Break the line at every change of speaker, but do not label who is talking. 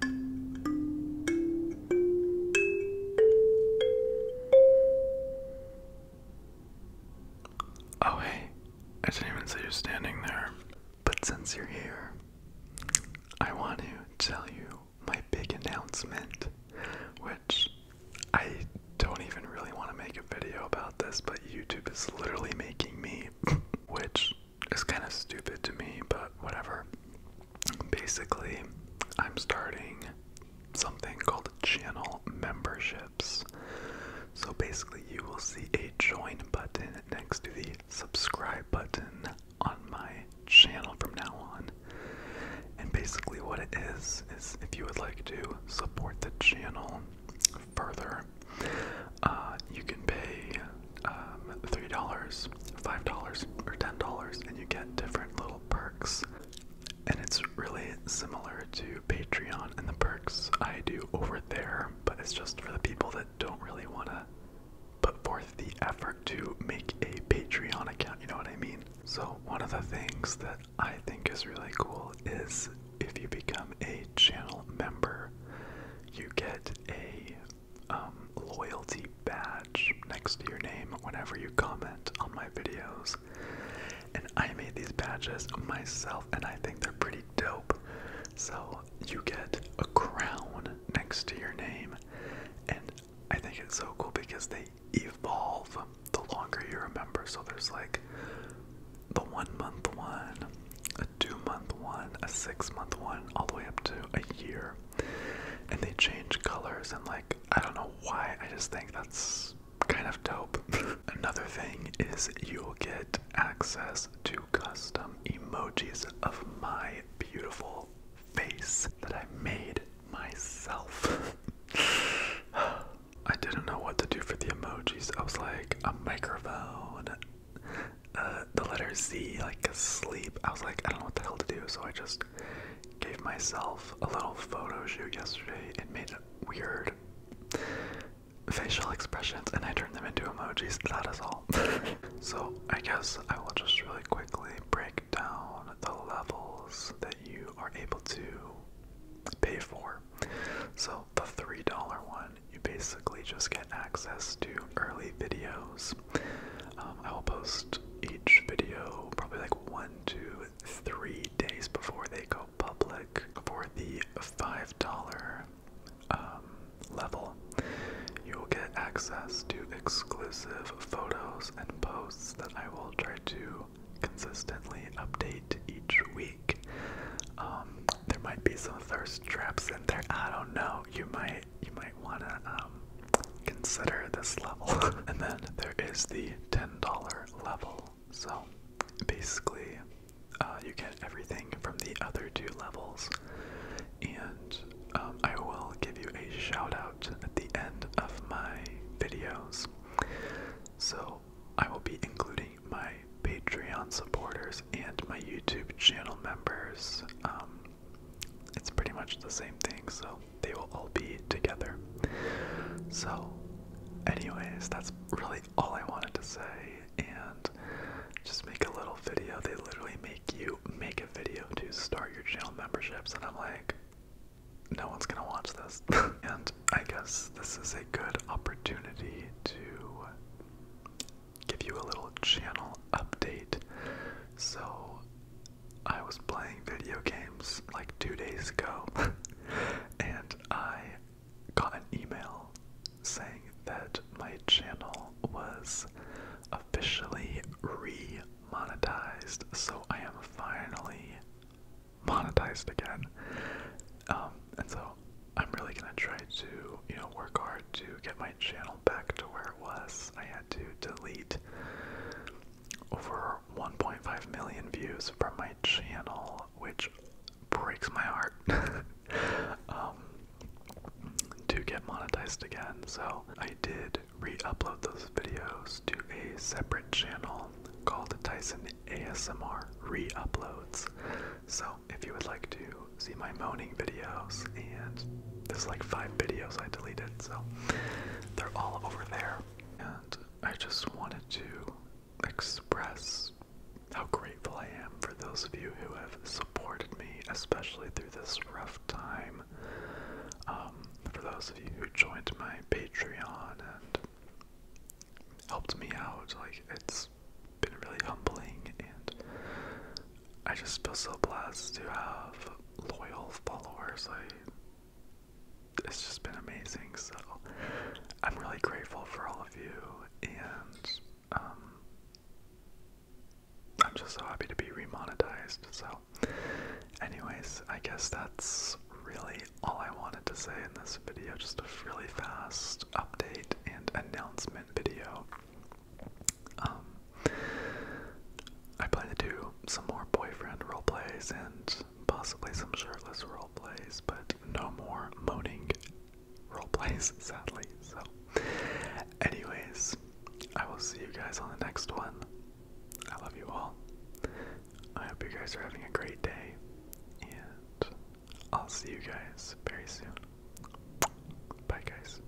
Oh, hey, I didn't even say you standing there. But since you're here, I want to tell you my big announcement, which I don't even really want to make a video about this, but YouTube is literally making me, which is kind of stupid to me, but whatever basically, I'm starting something called channel memberships. So basically, you will see a join button next to the subscribe button on my channel from now on. And basically, what it is is if you would like to support the channel further, uh, you can pay um, $3, $5, or $10, and you get different little perks. And it's really similar to Patreon and the perks I do over there, but it's just for the people that don't really want to put forth the effort to make a Patreon account, you know what I mean? So, one of the things that I think is really cool is if you become a channel member, you get a um, loyalty badge next to your name whenever you comment on my videos. And I made these badges myself, and I think they're pretty dope. So you get a crown next to your name, and I think it's so cool because they evolve the longer you are a member. So there's like the one month one, a two month one, a six month one, all the way up to a year and they change colors and like I don't know why I just think that's kind of dope. Another thing is you'll get access to custom emojis of my beautiful face that I made myself. I didn't know what to do for the emojis. I was like a microphone, uh, the letter Z, like asleep. I was like, I don't know what the hell to do, so I just gave myself a little photo shoot yesterday and made weird facial expressions and I turned them into emojis. That is all. so I guess I will just really quickly break down the levels that you are able to pay for. So the $3 one, you basically just get access to early videos um, I will post each video probably like one, two, three days before they go public for the $5 um, level. You will get access to exclusive photos and posts that I will try to consistently update each week. Um, there might be some thirst traps in there. I don't know. You might you might wanna um, consider this level. and then there is the ten dollar level. So basically, uh, you get everything from the other two levels, and um, I will give you a shout out at the end of my videos. So I will be including my Patreon supporters and my YouTube channel members um, it's pretty much the same thing, so they will all be together. So, anyways, that's really all I wanted to say, and just make a little video. They literally make you make a video to start your channel memberships, and I'm like, no one's gonna watch this. and I guess this is a good opportunity to give you a little channel update. So, I was playing video games like two days ago, and I got an email saying that my channel was officially re monetized. So, I am finally monetized again. Um, and so I'm really gonna try to, you know, work hard to get my channel back to where it was to delete over 1.5 million views from my channel, which breaks my heart. Um, to get monetized again, so I did re-upload those videos to a separate channel called Tyson ASMR Re-Uploads. So if you would like to see my moaning videos and there's like five videos I deleted, so they're all over there. And I just wanted to express how grateful I am for those of you who have supported me, especially through this rough time. Um, for those of you who joined my Patreon and helped me out, like it's been really humbling and I just feel so blessed to have loyal followers. it's just been amazing. So I'm really grateful for all of you, and um, I'm just so happy to be remonetized. So, anyways, I guess that's really all I wanted to say in this video. Just a really fast update and announcement video. Um, I plan to do some more boyfriend role plays and possibly some shirtless role plays, but no more moaning role plays, sadly. So, anyways, I will see you guys on the next one. I love you all. I hope you guys are having a great day, and I'll see you guys very
soon. Bye, guys.